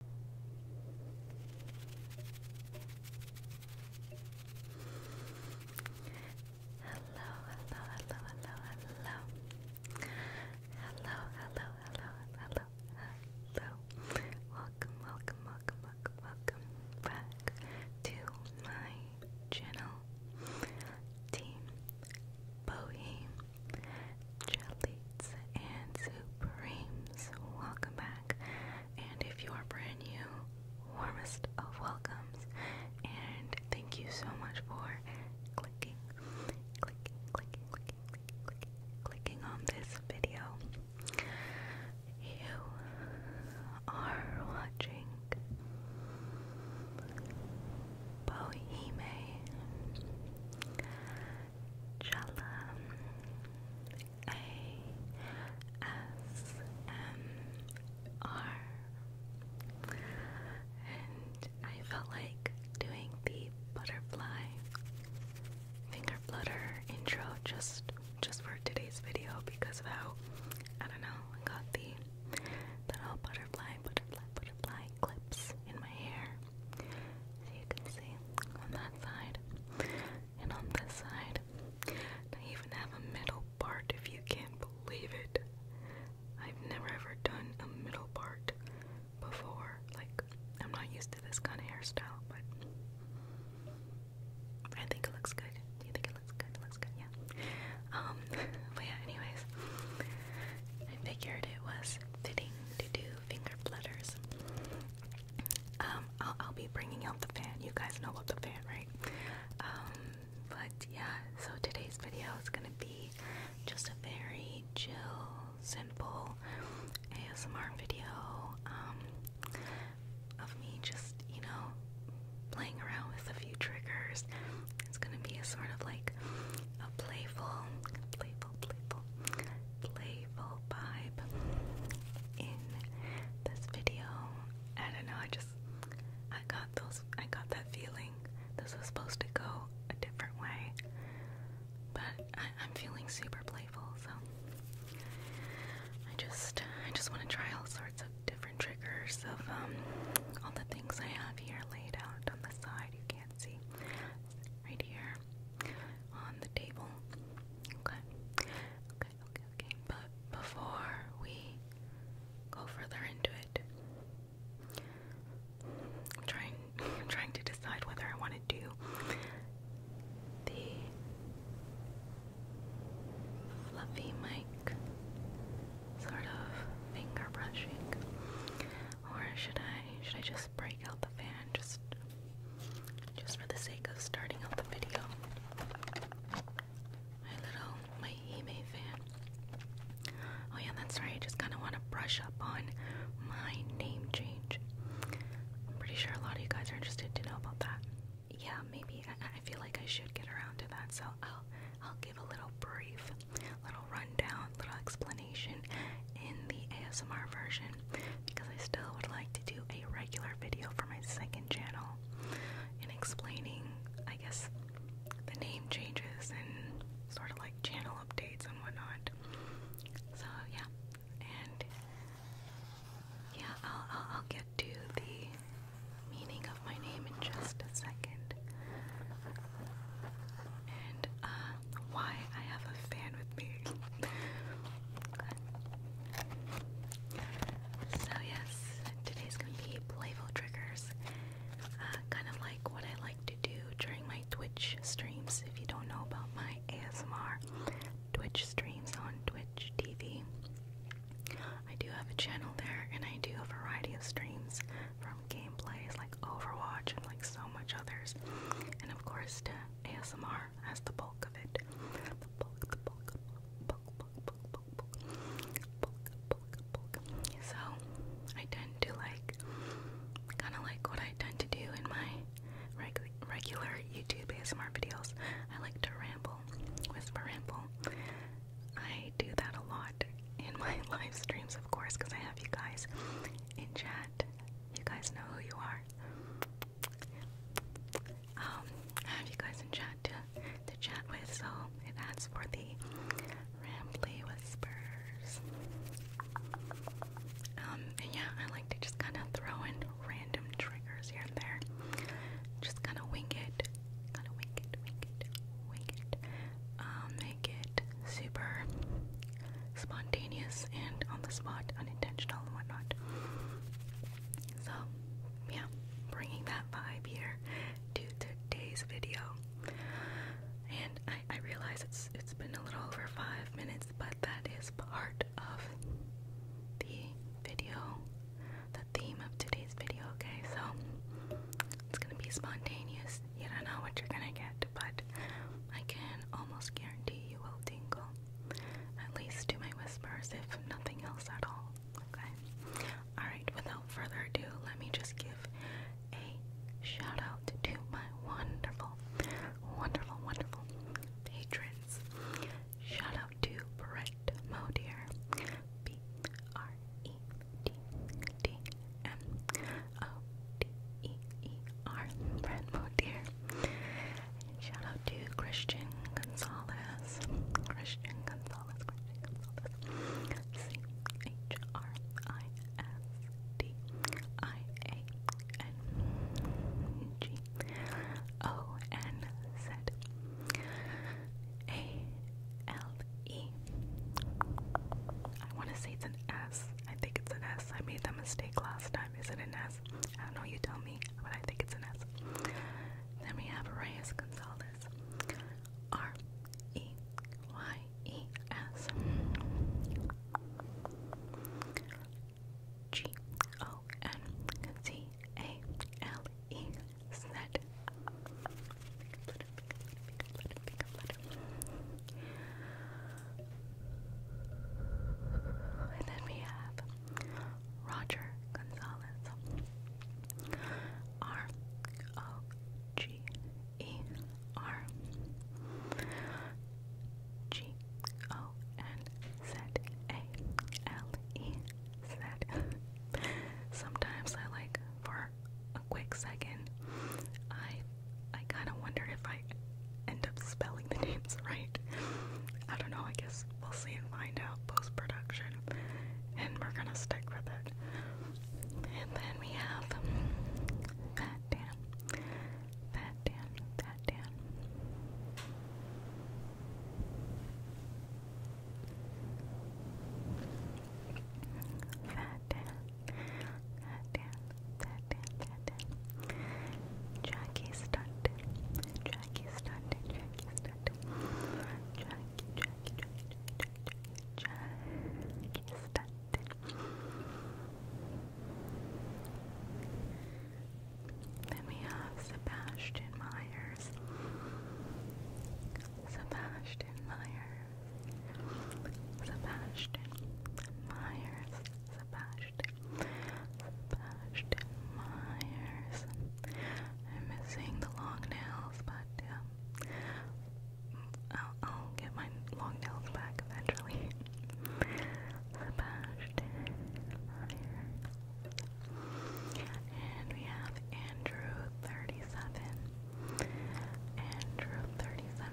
Hello, hello, hello, hello, hello. Hello, hello, hello, hello, Welcome, welcome, welcome, welcome, back to my channel. Team Bowie Jellies and Supremes, welcome back. And if you are brand new, warmest of welcomes. And thank you so much for clicking, clicking, clicking, clicking, clicking, clicking, on this video. You are watching Boheme Jella and I felt like doing the butterfly finger flutter intro just just for today's video because of how I don't know I got the that butterfly butterfly butterfly clips in my hair as you can see on that side and on this side. I even have a middle part if you can believe it. I've never ever done a middle part before. Like, I'm not used to this kind of hairstyle, but I think it looks good. Do you think it looks good? It looks good, yeah. Um, but yeah, anyways, I figured it was fitting to do finger flutters. Um, I'll, be bringing out the fan. You guys know about the fan, right? Um, but yeah, so today's video is gonna be just a very chill, simple ASMR video um, of me just, you know, playing around with a few triggers. It's gonna be a sort of like a playful, playful playful, playful, vibe in this video. I don't know, I just I got those I got that feeling this was supposed to go a different way. But I, I'm feeling super playful, so I just I just want to try all sorts of different triggers of um all the things I have here laid out on the side you can't see right here on the table. Okay. Okay, okay, okay. But before we go further into it, trying trying to decide whether I want to do the fluffy mic sort of finger brushing or should I should I just break out the fan just just for the sake of starting out the video. My little my Hime fan. Oh yeah, that's right. just kinda wanna brush up on my name change. I'm pretty sure a lot of you guys are interested to know about that. Yeah, maybe I, I feel like I should get around to that, so I'll I'll give a little brief, little rundown, little explanation in the ASMR version because I still would like to do a regular video for my second channel and explaining, I guess, the name changes and sort of like channel updates and whatnot. So, yeah, and yeah, I'll, get to the meaning of my name in just a second. And uh, why I have a fan with me. So yes, today's gonna be playful triggers. Uh, kind of like what I like to do during my Twitch streams. If you don't know about my ASMR Twitch streams on Twitch TV, I do have a channel there and I do a variety of streams from gameplays like Overwatch and like so much others. And of course ASMR. ASMR as the bulk of it. So I tend to like, kind of like what I tend to do in my regular YouTube ASMR videos. I like to ramble, whisper ramble. I do that a lot in my live streams, of course, because I have you guys in chat. You guys know who you are um, I have you guys in chat to, to chat with, so it adds for the rambly whispers. Um, and yeah, I like to just kind of throw in random triggers here and there. Just kind of wing it, kind of wing it, wing it, wing it. Um, make it super spontaneous and on the spot, unintentional and whatnot. So, yeah, bringing that vibe here to today's video. And I, realize it's it's been a little over five minutes, but that is part of the video, the theme of today's video. Okay, so it's gonna be spontaneous. You don't know what you're gonna get, but I can almost guarantee you will tingle at least to my whispers, if nothing else at all. Okay? Alright, without further ado, let me just give a shout out to my wonderful, wonderful, wonderful patrons. Shout out to Brett Modier, B R E D D M O D E E R, Brett Modier. Shout out to Christian Gonzalez. Christian Gonzalez, Christian Gonzalez. C H R I S D I A N G O N Z A L E. I want to say it's an S. I think it's an S. I made that mistake last time. Is it an S? S. I don't know, you tell me, but I think it's an S. Then we have Reyes Gonzalez. R E Y E S. G O N Z A L E Z. Pick up letter, pick up letter, pick up letter, pick up letter. And then we have Roger Gonzalez. R O G E R G O N Z A L E Z. Sometimes I like for a quick second I I kind of wonder if I end up spelling the names right. I don't know, I guess we'll see and find out post production. And we're gonna stick with it. And then we have Fat Dan. Fat Dan, Fat Dan. Fat Dan, Fat Dan, Jackie Stunt, Jackie Stunt, Jackie Stunt, Jackie, Jackie, Jackie, Jackie, Jackie Stunt. Then we have Sebastian Myers. Sebastian Myers. Sebastian Myers. Sebastian Sebastian Myers. I'm missing the long nails, but yeah, I'll, get my long nails back eventually. Sebastian And we have Andrew 37. Andrew 37,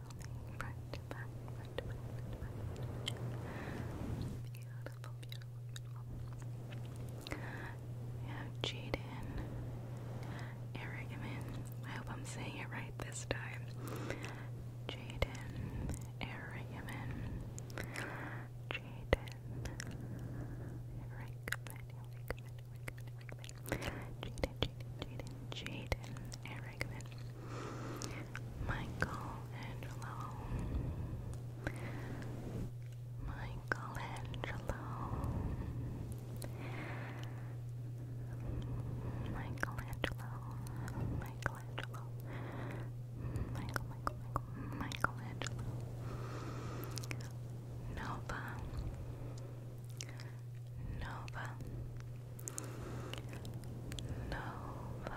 building, front to back, front to back, front to back, front to back. Beautiful, beautiful, beautiful. We have Jaden, Erickman. I hope I'm saying it right this time. Jaden, Erickman, Jaden, Erickman, Erickman, Erickman, Jaden, Jaden, Jaden, Jaden, Erickman. Franklin, Michelangelo, Michelangelo, Michelangelo, Michelangelo, Michael, Michael, Michael, Michelangelo, Nova. Nova, Nova.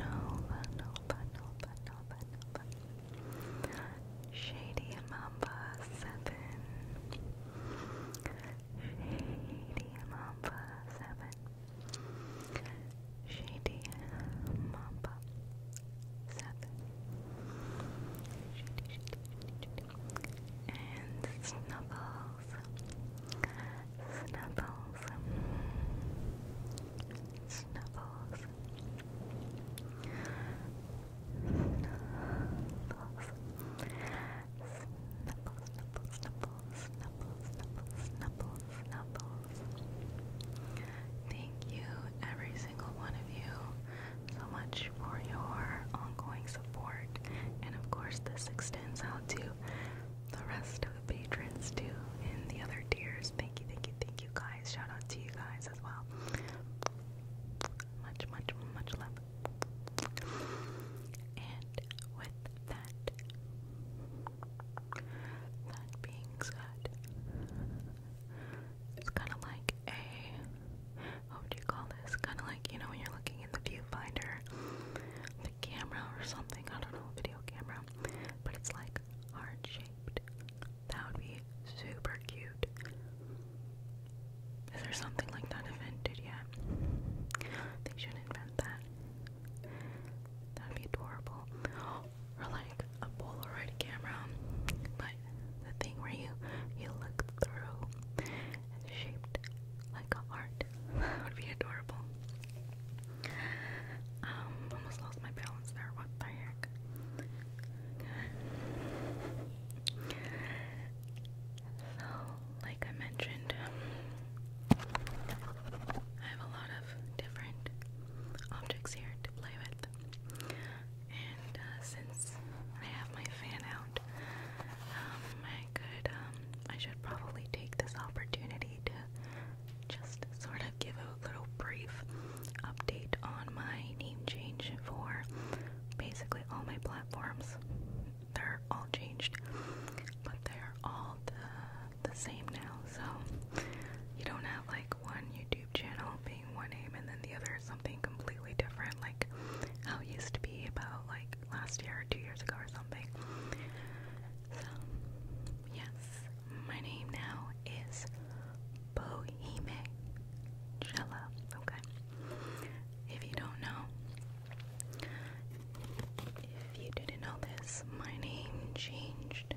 Nova, Nova, Nova, Nova, Shady Mamba Seven. Shady Mamba Seven. Shady Mamba Seven. Shady, shady, shady, shady and Snuffles, Snuffles, Snuffles, Snuffles, Snuffles, Snuffles, Snuffles, Snuffles, Snuffles, Snuffles. Thank you, every single one of you, so much for your ongoing support. And of course, this extends out to the rest of the patrons too in the other tiers. Thank you, thank you, thank you guys. Shout out to you guys as well. Much, much, much love. And with that, that being said, it's kind of like a, what would you call this? Kind of like, you know, when you're looking in the viewfinder, the camera or something, I don't know, video camera, but it's like heart shaped. That would be super cute. Is there something like that invented yet? They should invent that. That would be adorable. Or like a Polaroid camera, but the thing where you you look through shaped like a heart it. that would be adorable. Um, almost lost my balance there. What the heck? So, like I mentioned, I have a lot of different objects here to play with. And uh, since I have my fan out, I could, oh um, I should probably take this opportunity to just sort of give a little brief update on my name change for basically all my platforms. They're all changed, but they're all the, the same now. So you don't have like one YouTube channel being one name and then the other is something completely different, like how it used to be about like last year or two years ago or something. So, yes, my name now is Boheme Jella. Okay. If you don't know, if you didn't know this, my name changed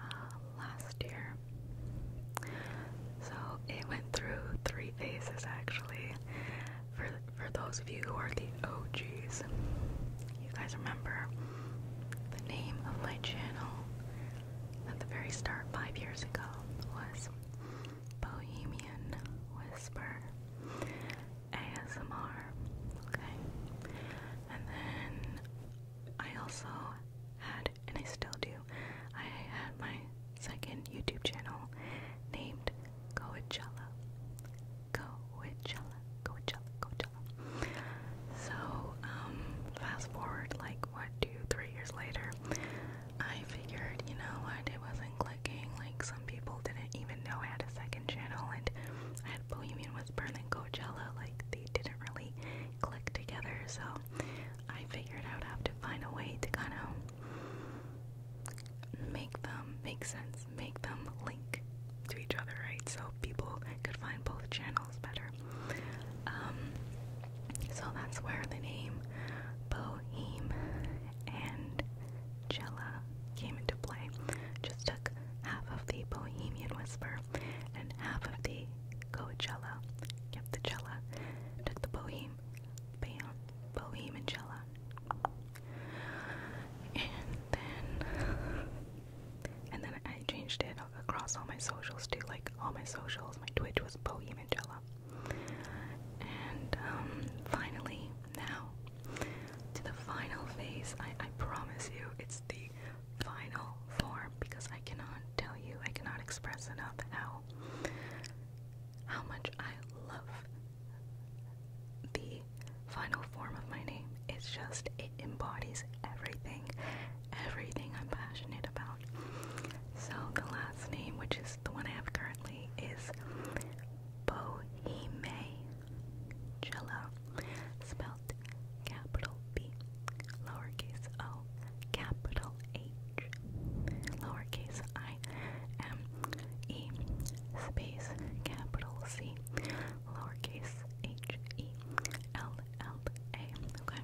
uh, last year. So it went through three phases actually for those of you who are the OGs, you guys remember the name of my channel at the very start five years ago was Bohemian Whisper ASMR. Okay. And then I also had, and I still do, I had my second YouTube channel named Coachella. Coachella. Coachella. Coachella. So, um, fast forward like what, two, three years later, I figured, you know what, it wasn't clicking. Like some people didn't even know I had a second channel and I had Bohemian Whisper and then Coachella, like they didn't really click together, so I figured I would have to find a way to kind of make them make sense, make them link to each other, right? So people could find both channels better. Um, so that's where the name Bohem and Jela came into play. Just took half of the Bohemian Whisper and half of the Jela. Kept the Jela. took the Boheme, bam, Boheme and Jella. And then and then I changed it across all my socials too. Like all my socials, my Twitch was Poe Mangella. And um, finally, now to the final phase. I, I promise you, it's the final form because I cannot tell you, I cannot express enough how how much I love the final form of my name. It's just, it embodies everything, everything I'm passionate about. So, the last name, which is the one I have currently, is Bohime Jello, spelled capital B, lowercase o, capital H, lowercase I M E space capital C lowercase h e l l a. Okay,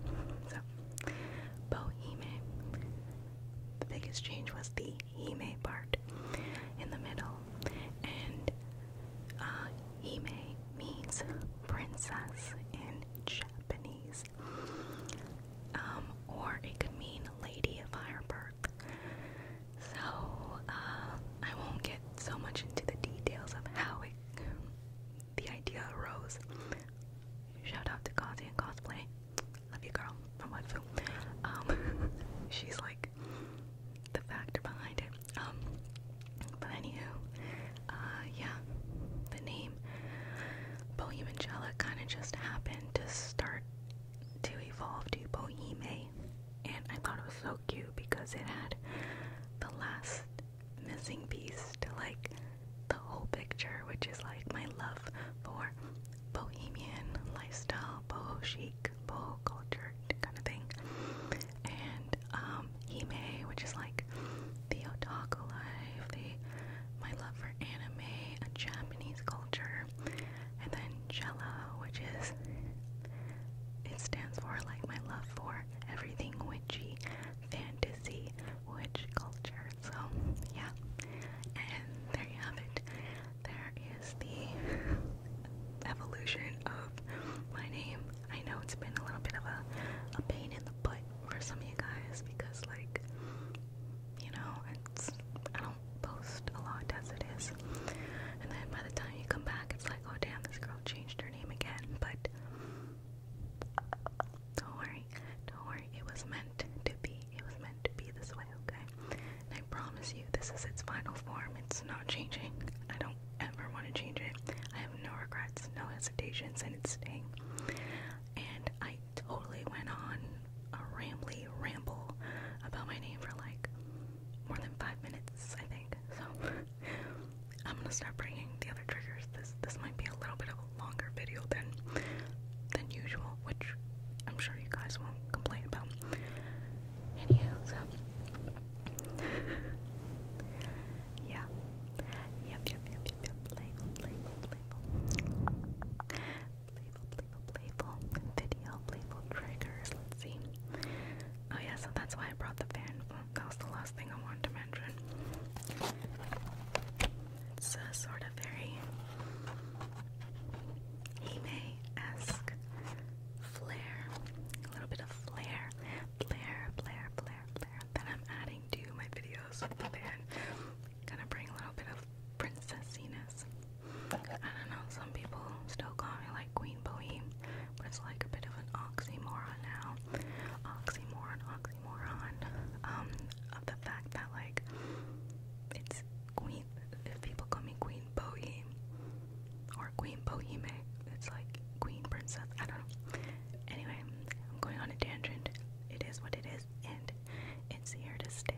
so boheme. The biggest change was the hime part in the middle, and uh, hime means princess in Japanese. Um, or it could mean lady of higher birth. So, uh, I won't get so much into the details of how it, the idea arose. Shout out to Kazi and Cosplay. Love you, girl, from Wetfu. Um, she's like the factor behind it. Um, but anywho, uh, yeah, the name Bohemian Jella kind of just happened to start to evolve to Bohime, and I thought it was so cute because it had the last missing piece to like the whole picture, which is like my love for bohemian lifestyle, boho chic, boho culture kind of thing, and um, may, which is like the otaku life, the my love for anime, a Japanese culture, and then Jella, which is it stands for like my love for everything witchy, fantasy, witch culture. So yeah. And there you have it. There is the evolution of my name. I know it's been a little bit of a, a pain in the butt for some of you guys because like you know, I don't post a lot as it is. And then by the time you come back, it's like, oh damn, this girl changed her name again. But don't worry, don't worry. It was meant to be. It was meant to be this way, okay? And I promise you, this is its final form. It's not changing. I don't ever want to change it. I have no regrets, no hesitations, and it's staying. And I totally went on a rambly ramble about my name for like more than five minutes, I think. So I'm gonna start bringing the other triggers. This this might be a little bit of a longer video than than usual, which I'm sure you guys won't complain about. Anyhow, yeah. yep, yep, yep, yep. Label, label, label. Playful, playful, playful video, playful triggers. Let's see. Oh, yeah, so that's why I brought the fan. Oh, that was the last thing I wanted to mention. It's a sort of very Hime esque flair. A little bit of flair. Flair, flair, flair, flair. That I'm adding to my videos with Gonna bring a little bit of princessiness. I don't know, some people still call me like Queen Boheme, but it's like a bit of an oxymoron now. Oxymoron, oxymoron. Um, of the fact that like it's Queen, if people call me Queen Boheme or Queen Boheme, it's like Queen Princess. I don't know. Anyway, I'm going on a tangent. It is what it is, and it's here to stay.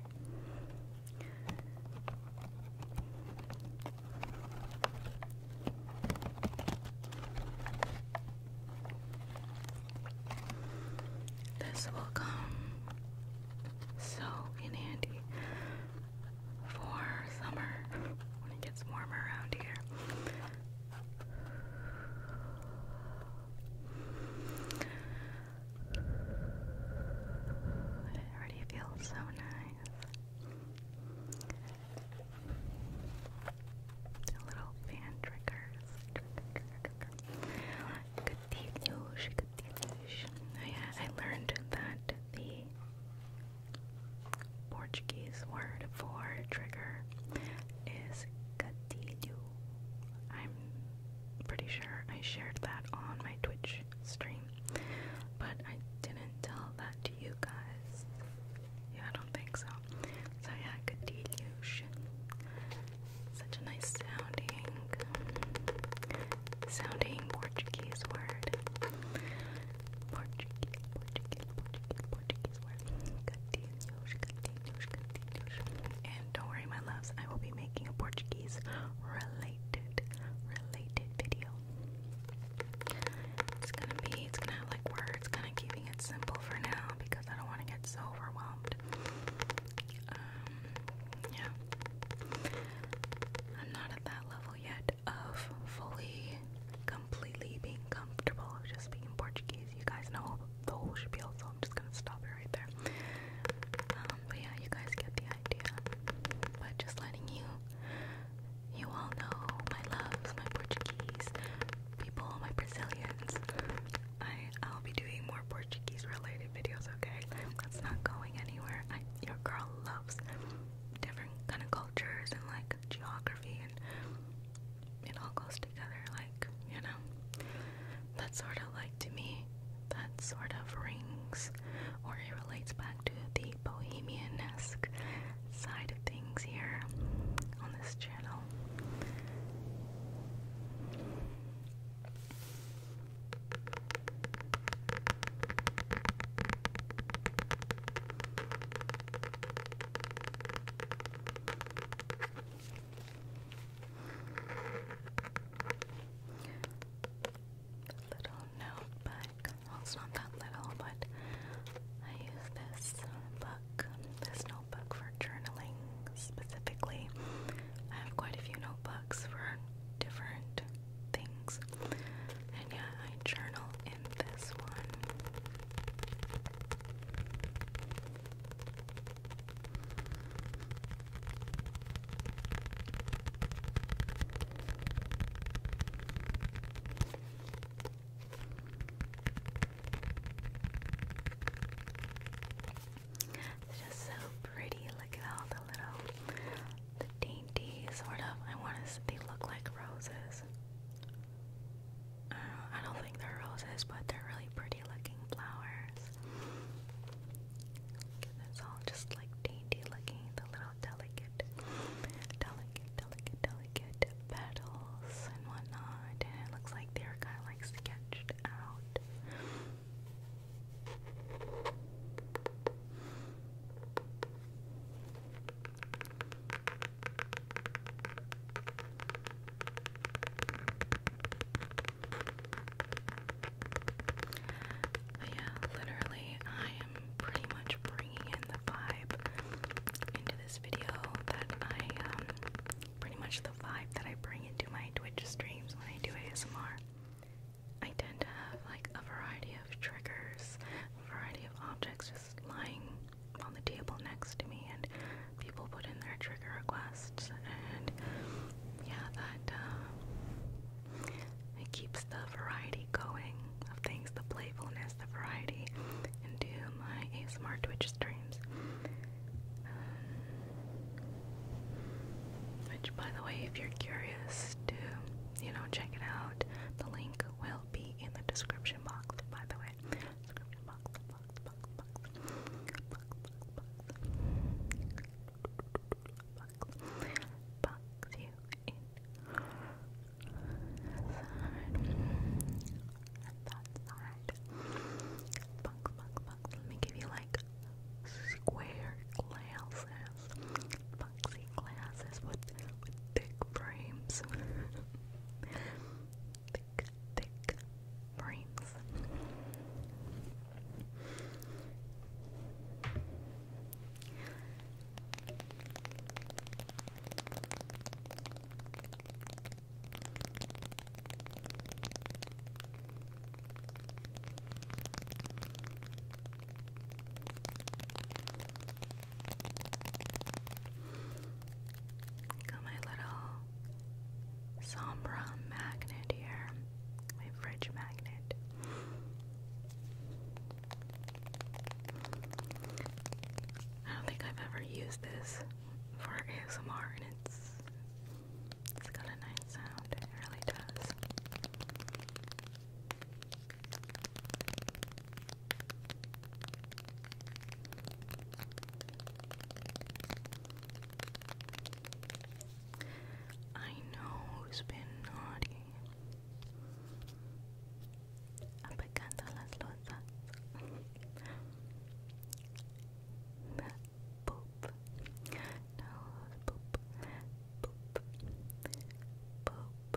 This will come so in handy for summer when it gets warmer around here. It already feels so nice. little fan triggers. Katilush, Katilush. Oh yeah, I learned that the Portuguese word for trigger is gatilho. I'm pretty sure I shared that on my Twitch stream, but I didn't tell that to you guys. Yeah, I don't think so. So yeah, good delusion. Such a nice sounding, sounding Portuguese word. Portuguese, Portuguese, Portuguese, Portuguese word. Good delusion, good delusion, good delusion. And don't worry, my loves, I will be making a Portuguese relate related video. It's gonna be it's gonna have like words, kinda keeping it simple for now because I don't wanna get so overwhelmed. Um, yeah. I'm not at that level yet of fully completely being comfortable just being Portuguese. You guys know the whole spiel, so I'm just gonna stop it right there. Um, but yeah, you guys get the idea. But just letting you, you all know my loves, my Portuguese people, my Brazilians. I I'll be doing more Portuguese related videos. Okay, that's not going anywhere. your girl loves different kind of cultures and like geography, and it all goes together. Like you know, that's sort of like to me that sort of rings or it relates back to the bohemian esque side of things here on this channel little notebook. it's not that little, but I use this book, this notebook for journaling specifically. I have quite a few notebooks for different things, and yeah, I journal in this one. It's just so pretty. Look at all the little, the dainty sort of. I want to. They look like roses. I don't think they're roses, but they're really pretty looking flowers. Look at this, all just like dainty looking, the little delicate, delicate, delicate, delicate petals and whatnot. And it looks like they're kind of like sketched out yeah, literally, I am pretty much bringing in the vibe into this video that I, um, pretty much the vibe that I bring into my Twitch streams when I do ASMR. I tend to have like a variety of triggers, a variety of objects just lying on the table next to me, and people put in their trigger requests, and yeah, that uh, it keeps the variety going of things, the playfulness, the variety, into my ASMR Twitch streams. Um, which, by the way, if you're curious to, you know, check it out, the link will be in the description box. By the way, box, box you in. That side, box, box, box. Let me give you like square glasses, boxy glasses with with thick frames. thick, thick frames. Got my little Sombra magnet here, my fridge magnet. I don't think I've ever used this for ASMR, and it's it's got a nice sound. It really does. I know who's been naughty. Apagando las losas. That No, poop. Poop. Poop. poop. Poop.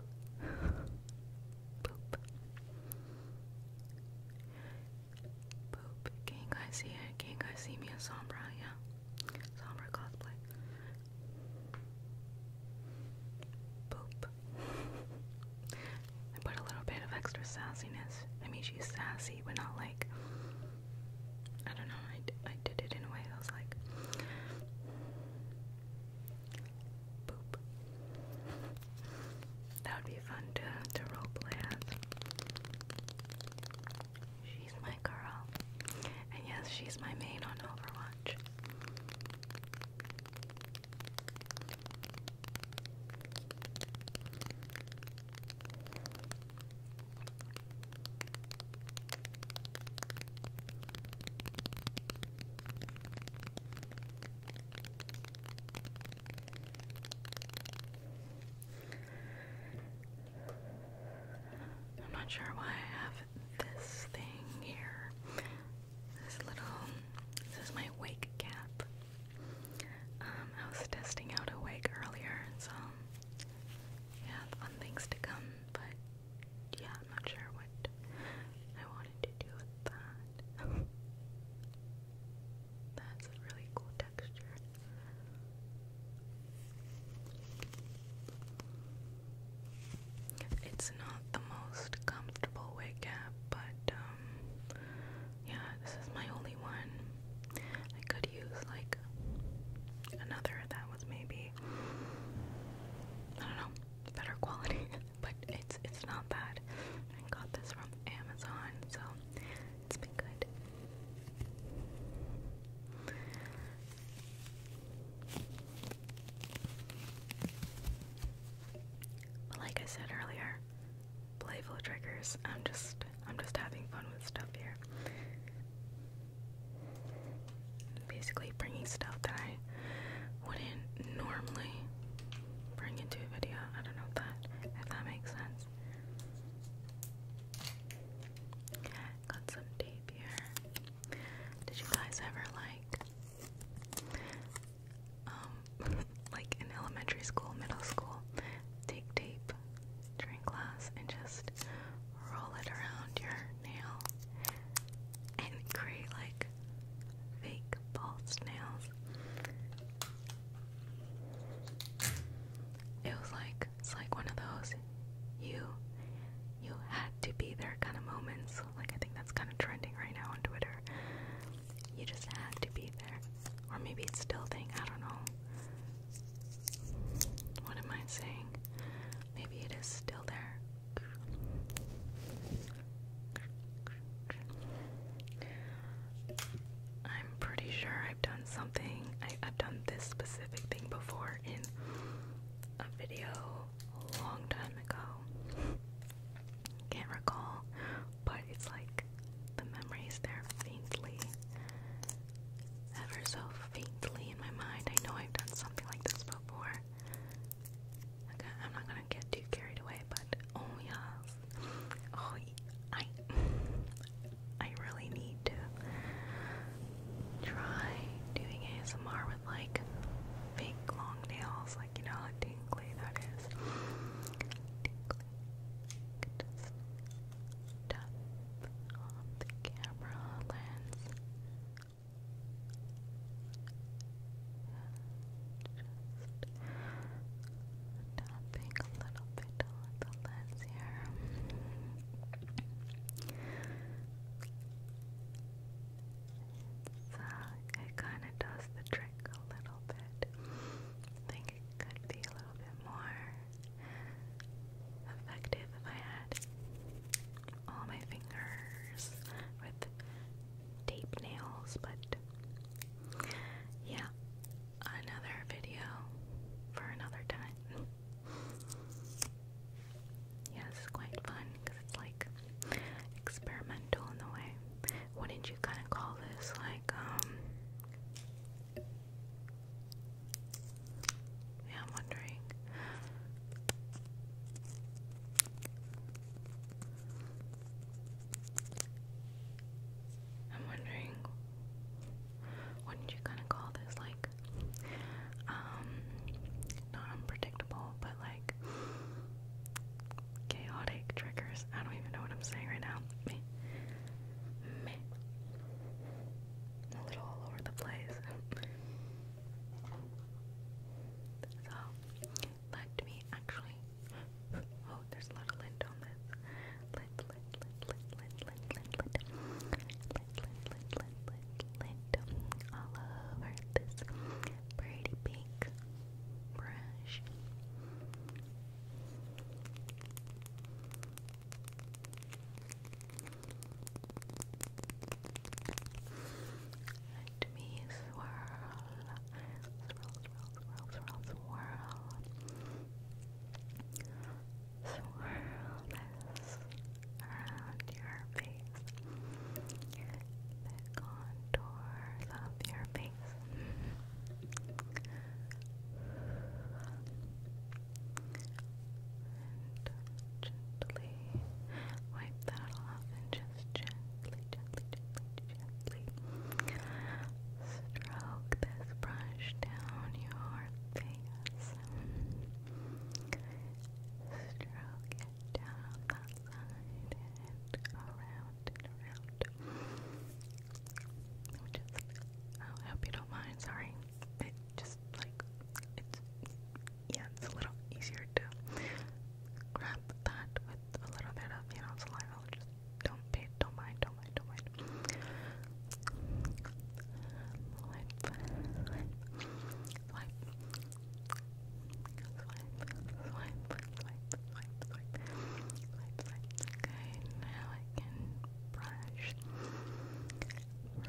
Can you guys see it? Can you guys see me as Sombra? Yeah. Sombra cosplay. Boop. I put a little bit of extra sassiness. I mean, she's sassy, but not like. I don't know, I, I did it in a way that was like. Boop. That would be fun to, to roleplay as. She's my girl. And yes, she's my main on Overwatch. I'm not sure why I have this thing here. This little, this is my wig cap. Um, I was testing out a wig earlier, so yeah, fun things to come. But yeah, I'm not sure what I wanted to do with that. That's a really cool texture. It's not the most comfortable wig cap, but um, yeah, this is my only one. I could use like another that was maybe I don't know better quality, but it's it's not bad. I got this from Amazon, so it's been good like I said earlier, playful triggers. I'm just I'm just having fun with stuff here. Basically bringing stuff that I wouldn't normally bring into a video. I don't know if that if that makes sense. Got some dates. Did you guys ever like, um, like in elementary school, middle school, take tape drink glass, and just roll it around your nail and create like fake false nails? It was like it's like one of those you you had to be there kind of moments. Like, I think that's kind of trending right now on Twitter. You just had to be there. Or maybe it's still thing, I don't know. What am I saying? Maybe it is still there. I'm pretty sure I've done something. I, I've done this specific thing before in a video a long time ago. Can't recall, but it's like the memories there faintly, ever so faintly in my mind. I know I've done something like this before. Okay, I'm not gonna get too carried away, but oh yes, oh I, I really need to try doing ASMR with like fake long nails, like you know how tingly that is. tapping a little bit on the lens here. So it kind of does the trick a little bit. I think it could be a little bit more effective if I had all my fingers with tape nails, but yeah, another video for another time. Yeah, this is quite fun because it's like experimental in a way. Wouldn't you kind of call this like, um, yeah, I'm wondering. I'm wondering, wouldn't you kind of call this like um, not unpredictable but like chaotic triggers. I don't even know what I'm saying right now. Me me a little all over the place. so let me actually Oh, there's a lot of lint on this. Lint, lint, lint, lint, lint, lint, lit, lit, all over this pretty pink brush. Let me swirl, swirl, swirl, swirl, swirl. Swirl this around your face. The contours of your face. And gently wipe that off and just gently, gently, gently, gently stroke this brush down your face. Stroke it down that side and around and around. Which I hope you don't mind, sorry. It just, like, it's, yeah, it's a little easier to grab that with a little bit of, you know, saliva. Just don't pay, don't mind, don't mind, don't mind swipe, swipe, swipe, swipe, swipe, swipe, swipe, swipe. Okay, now I can brush, brush,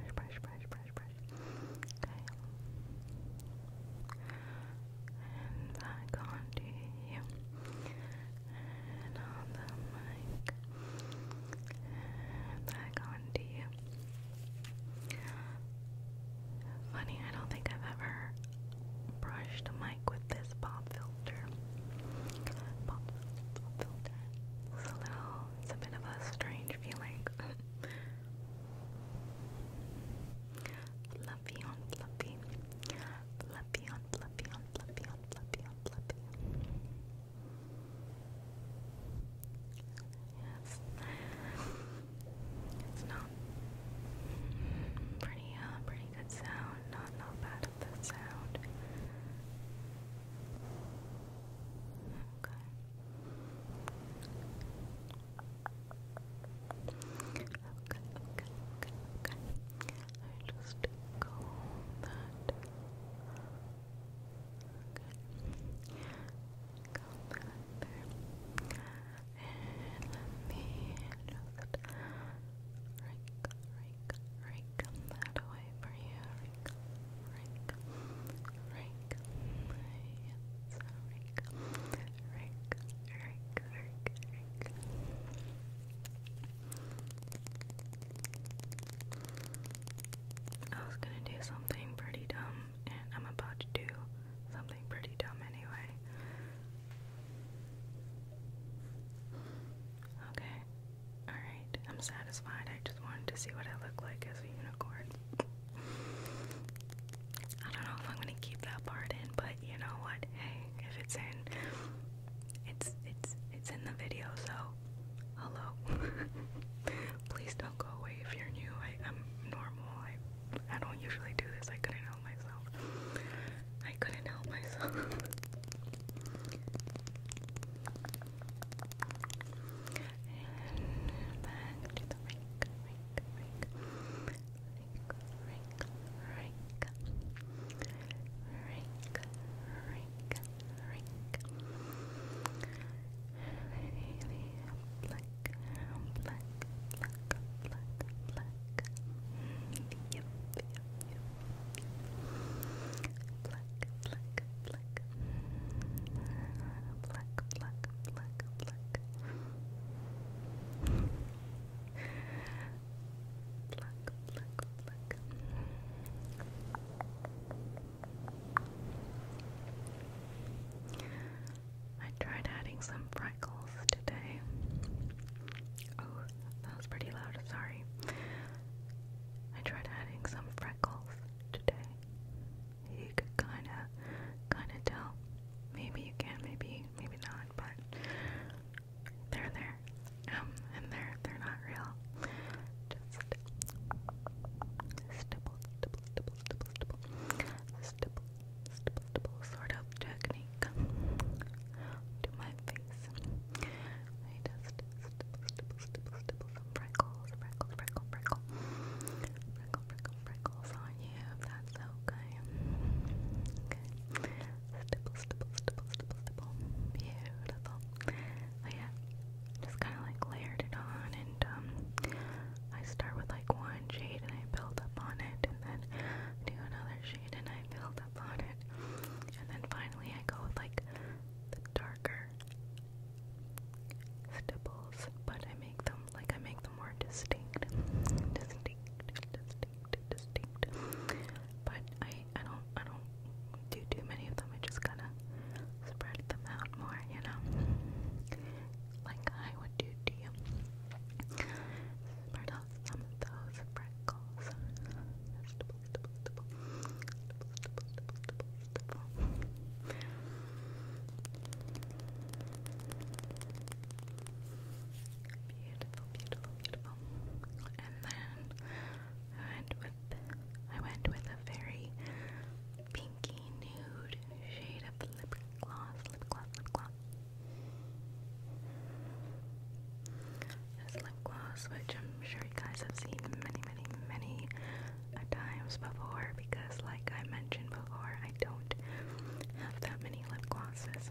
brush, brush, brush, brush. Okay, and back onto you, and on the mic back onto you. Funny, I don't think I've ever brushed a mic with this pop filter. Pop filter. It's a little, it's a bit of a strange feeling. fluffy on fluffy. Fluffy on fluffy on fluffy on fluffy on fluffy. Yes. It's not pretty uh pretty good sound, not not bad at the sound. Okay. Okay, okay, okay, I just go that Okay. back And let me just rake, rake, rake that away for you. Rake, rake, rake. Yes, rake, rake, rake, rake, rake. Okay. I was gonna do something pretty dumb, and I'm about to do something pretty dumb anyway. Okay, alright, I'm satisfied. I just wanted to see what I look like as a unicorn. I don't know if I'm gonna keep that part in, but you know what? Hey, if it's in, it's it's it's in the video, so hello. Please don't go away if you're new. I, am normal. I, I don't usually do this. I couldn't help myself. I couldn't help myself. ring. Really black, black, black, black, black. Black, black, black. Black, black, black, black. Black, black, black. Black, I tried adding some freckles today. Oh, that was pretty loud, sorry. I tried adding some freckles today. You could kinda kinda tell. Maybe you can, maybe maybe not, but they're there. Um, and they're they're not not real. Just stipple, stipple, stipple, stipple, stipple, stipple, stipple, stipple sort of technique to my face. I just stipple, stipple, stipple, stipple some freckles, freckles, freckle, freckle, freckle, freckle, freckles on you if that's okay. Okay. Stipple, stipple, stipple, stipple, stipple. Beautiful. Oh, yeah, just kind of like layered it on, and um, I start with like one shade and I build up on it, and then do another shade and I build up on it, and then finally I go with like the darker stipples, but I make them like I make them more distinct, distinct, distinct, distinct. But I I don't I don't do too many of them. I just gotta spread them out more, you know? Like I would do to you. Spread out some of those freckles. Beautiful, beautiful, beautiful. And then I I went with a very pinky nude shade of lip gloss, lip gloss, lip gloss. lip gloss, which I'm sure you guys have seen many, many, many times before because, like I mentioned before, I don't have that many lip glosses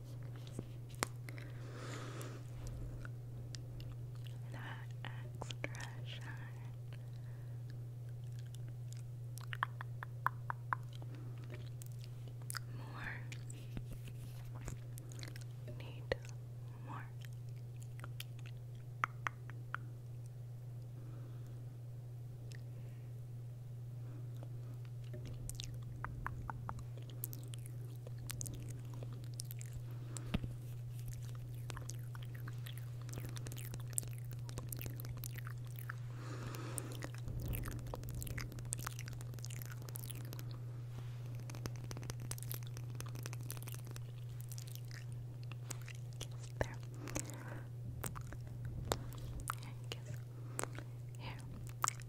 That extra shine. More. Need more. There. Here,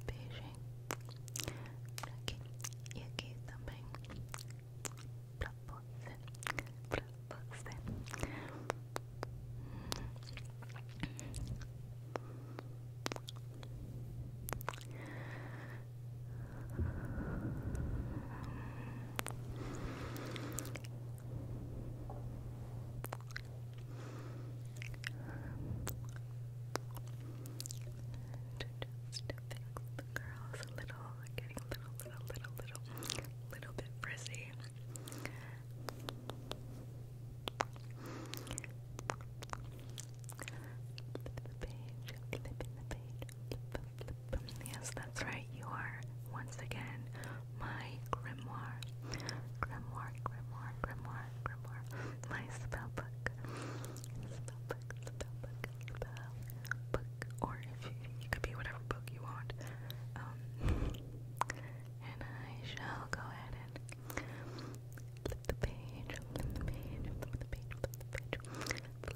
Beijing. aqui e aqui também pra você, pra você To just a little, getting a little, little, little, little, little bit frizzy. Yes, that's right. You are once again my grimoire, grimoire, grimoire, grimoire more, for more. My spell book. Spell book, spell book, spell book. Or if you, you could be whatever book you want. Um, and I shall go ahead and flip the page, flip the page, flip the page, flip the page, flip, flip. flip.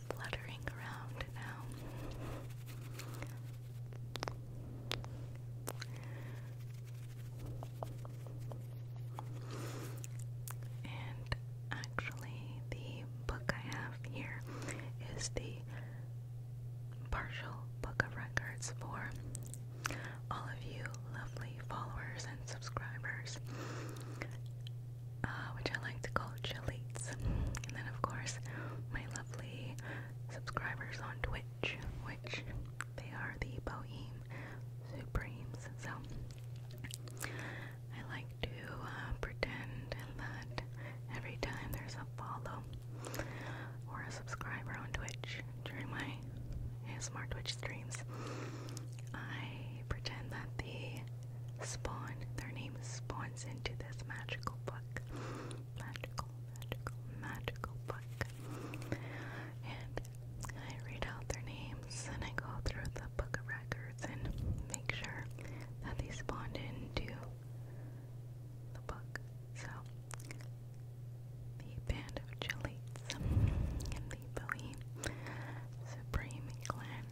fluttering around now. And actually, the book I have here is the partial book of records for all of you lovely followers and subscribers, uh, which I like to call chilites. And then, of course, my lovely subscribers on Twitch, which they are the Bohem Supremes. So I like to uh, pretend that every time there's a follow or a subscriber on Twitch during my smart Twitch streams, I pretend that the spawn, their name spawns into this magical book magical, magical, magical book. And I read out their names and I go through the book of records and make sure that they spawned into the book. So, the Band of Chilites and the Billy Supreme Clan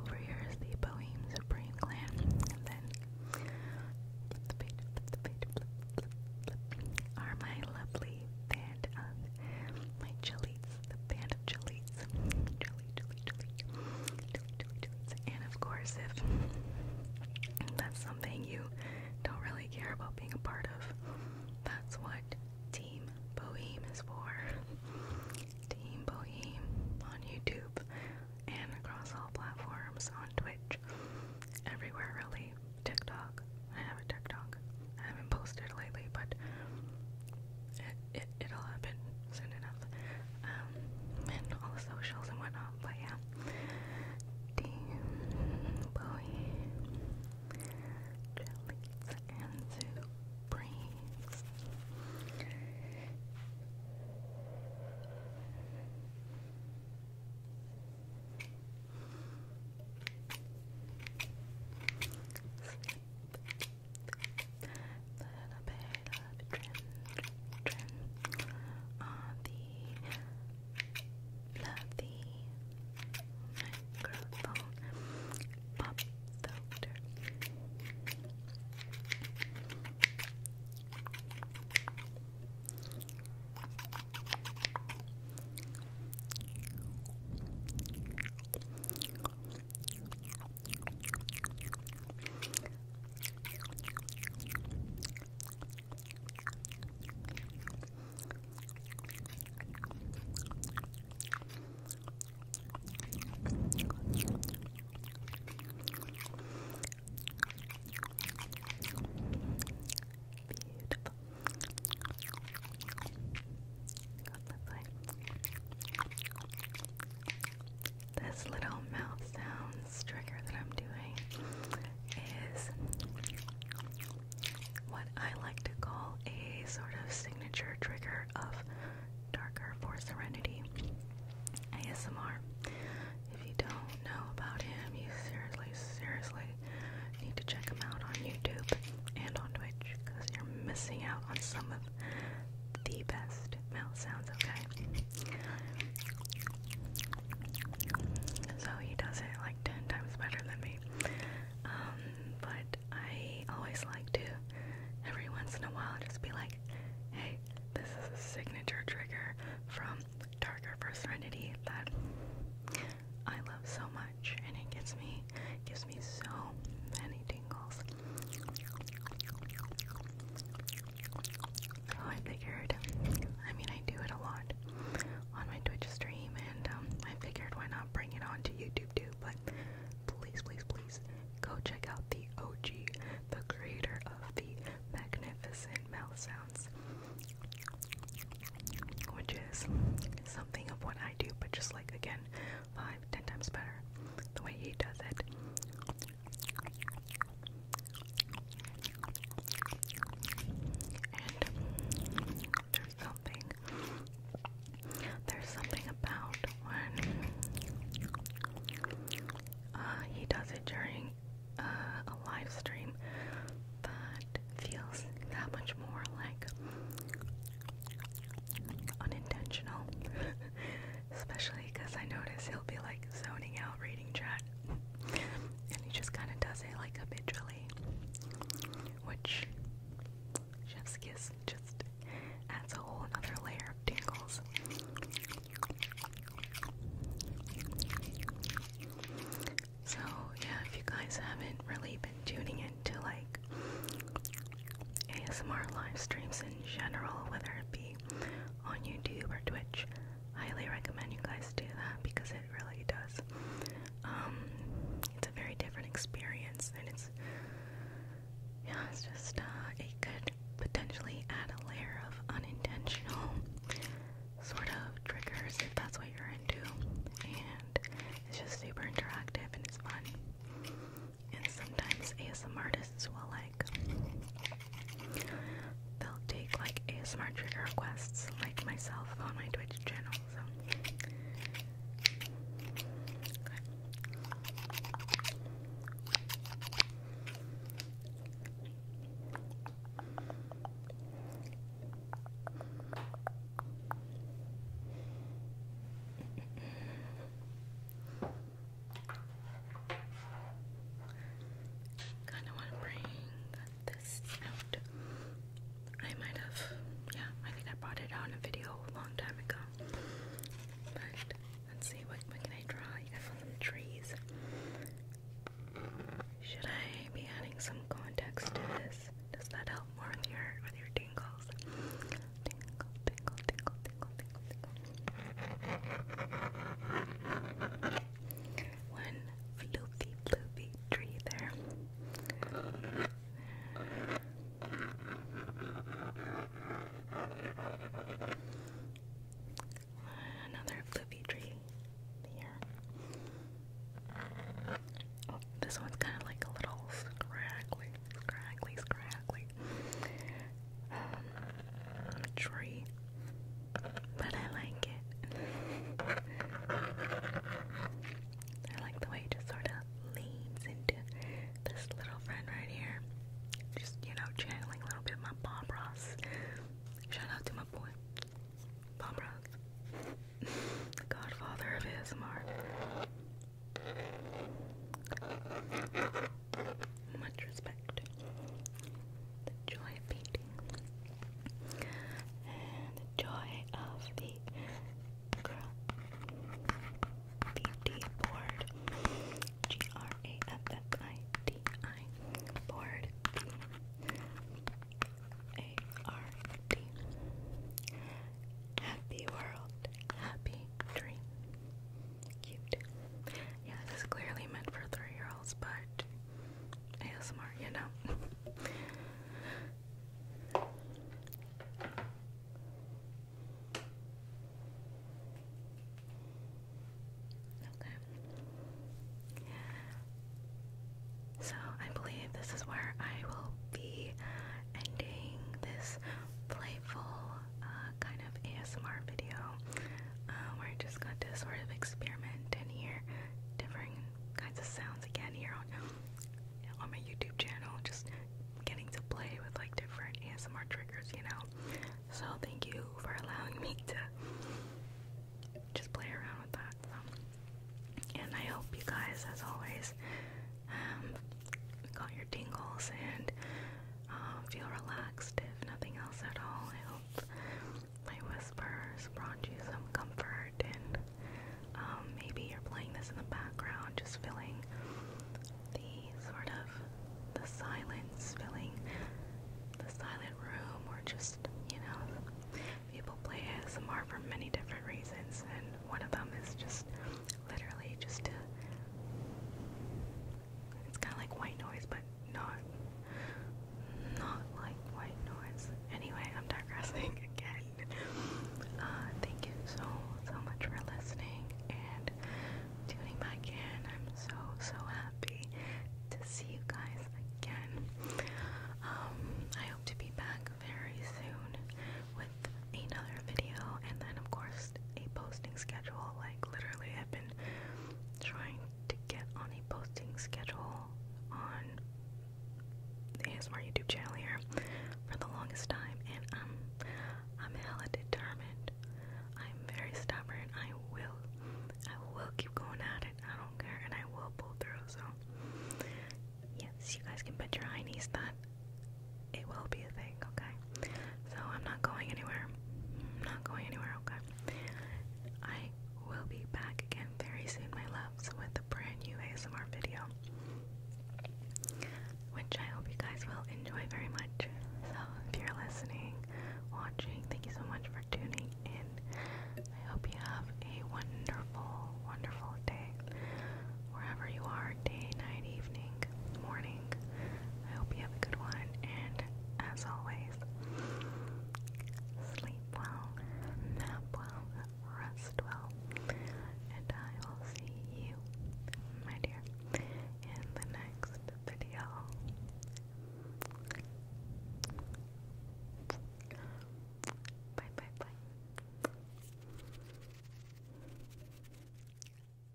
over here is the Boheme Supreme Clan. And then Are my lovely band of my chilies, the band of chilies. Chili, chili, chili, chili, chili, And of course, if that's something you don't really care about being a part of, that's what Team Boheme is for. Team Boheme on YouTube and across all platforms on Twitch. Everywhere really. TikTok. I have a TikTok. I haven't posted lately, but it, it, it'll happen soon enough. Um, and all the socials and whatnot, but yeah. Team Boheme things. Little bit of trim, on the fluffy microphone pop filter. This little mouth sounds trigger that I'm doing is what I like to call a sort of signature trigger of darker for Serenity ASMR. If you don't know about him, you seriously, seriously need to check him out on YouTube and on Twitch because you're missing out on some of the best mouth sounds, okay? So he does it like 10 times better than me. Um, but I always like to, every once in a while, just be like, hey, this is a signature trigger from Darker for Serenity that I love so much, and it gives me, gives me so many tingles. So oh, I figured, I mean, I do it a lot on my Twitch stream, and um, I figured why not bring it on to YouTube too, but please, please, please go check out the OG, the creator of the magnificent mouth sounds, which is something of what I do, but just like again, five, ten times better the way he does it. And there's something there's something about when uh, he does it during uh, a live stream that feels that much more like unintentional. Especially because I notice he'll be like zoning out reading chat. And he just kind of does it like habitually, which Chef's Kiss just adds a whole another layer of tingles. So, yeah, if you guys haven't really been tuning into like ASMR live streams in general, whether it be on YouTube or Twitch, I highly recommend you guys do that because it really does. Um, it's a very different experience, and it's yeah, it's just, uh, it could potentially add a layer of unintentional sort of triggers if that's what you're into. And it's just super interactive and it's fun. And sometimes ASM artists will like, they'll take like ASMR trigger requests, like myself on my Twitch channel. So, Kind of want to bring this out. I might have, yeah, I think I brought it out a video a long time ago. But Let's see, what, can I draw? You guys want some trees? Should I be adding some context to this? Does that help more with your with your tingles? Tingle, tingle, tingle, tingle, tingle, tingle. One floofy, floofy tree there. Another floopy tree here. Oh, this one's kind of like a little scraggly, scraggly, scraggly um, tree, but I like it. I like the way it just sort of leans into this little friend right here. Just, you know, channeling a little bit of my Bob Ross. Shout out to my boy, Bob Ross, the godfather of ASMR. Much respect. The joy of painting. And the joy of the girl. D board. G R A F F I D I board. B A R D. Happy world, happy dream. Cute. Yeah, this is clearly meant for three year olds, but ASMR, you know. Okay. So I believe this is where I will be ending this playful uh, kind of ASMR video. Uh, where I just got to sort of experiment and hear different kinds of sounds again here on um, on my YouTube channel. Just getting to play with like different ASMR triggers, you know. So thank you for allowing me to just play around with that. And I hope you guys, as always, um, got your tingles and um, feel relaxed if nothing else at all. I hope my whispers brought you some comfort and um, maybe you're playing this in the background, just feeling the sort of the silence filling the silent room or just, you know, people play ASMR for many different reasons and one of them is just literally just to it's kind of like white noise but not not like white noise. Anyway, I'm digressing again. Uh, thank you so so much for listening and tuning back in. I'm so so happy to see you guys again. Um, I hope to be back very soon with another video, and then of course a posting schedule. Like literally, I've been trying to get on a posting schedule on the ASMR YouTube channel here for the longest time, and I'm I'm hella determined I'm very stubborn. I will, I will keep going at it. I don't care, and I will pull through. So, yes, you guys can bet your heinies that it will be a thing. Okay, so I'm not going anywhere. I'm not going anywhere. Okay, I will be back again very soon, my loves, with a brand new ASMR video which I hope you guys will enjoy very much. So, if you're listening, watching, thank you so much for tuning in. I hope you have a wonderful, wonderful day. Wherever you are, day, night, evening, morning, I hope you have a good one. And as always, sleep well, nap well, rest well, and I will see you, my dear, in the next video. Bye bye bye.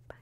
Bye.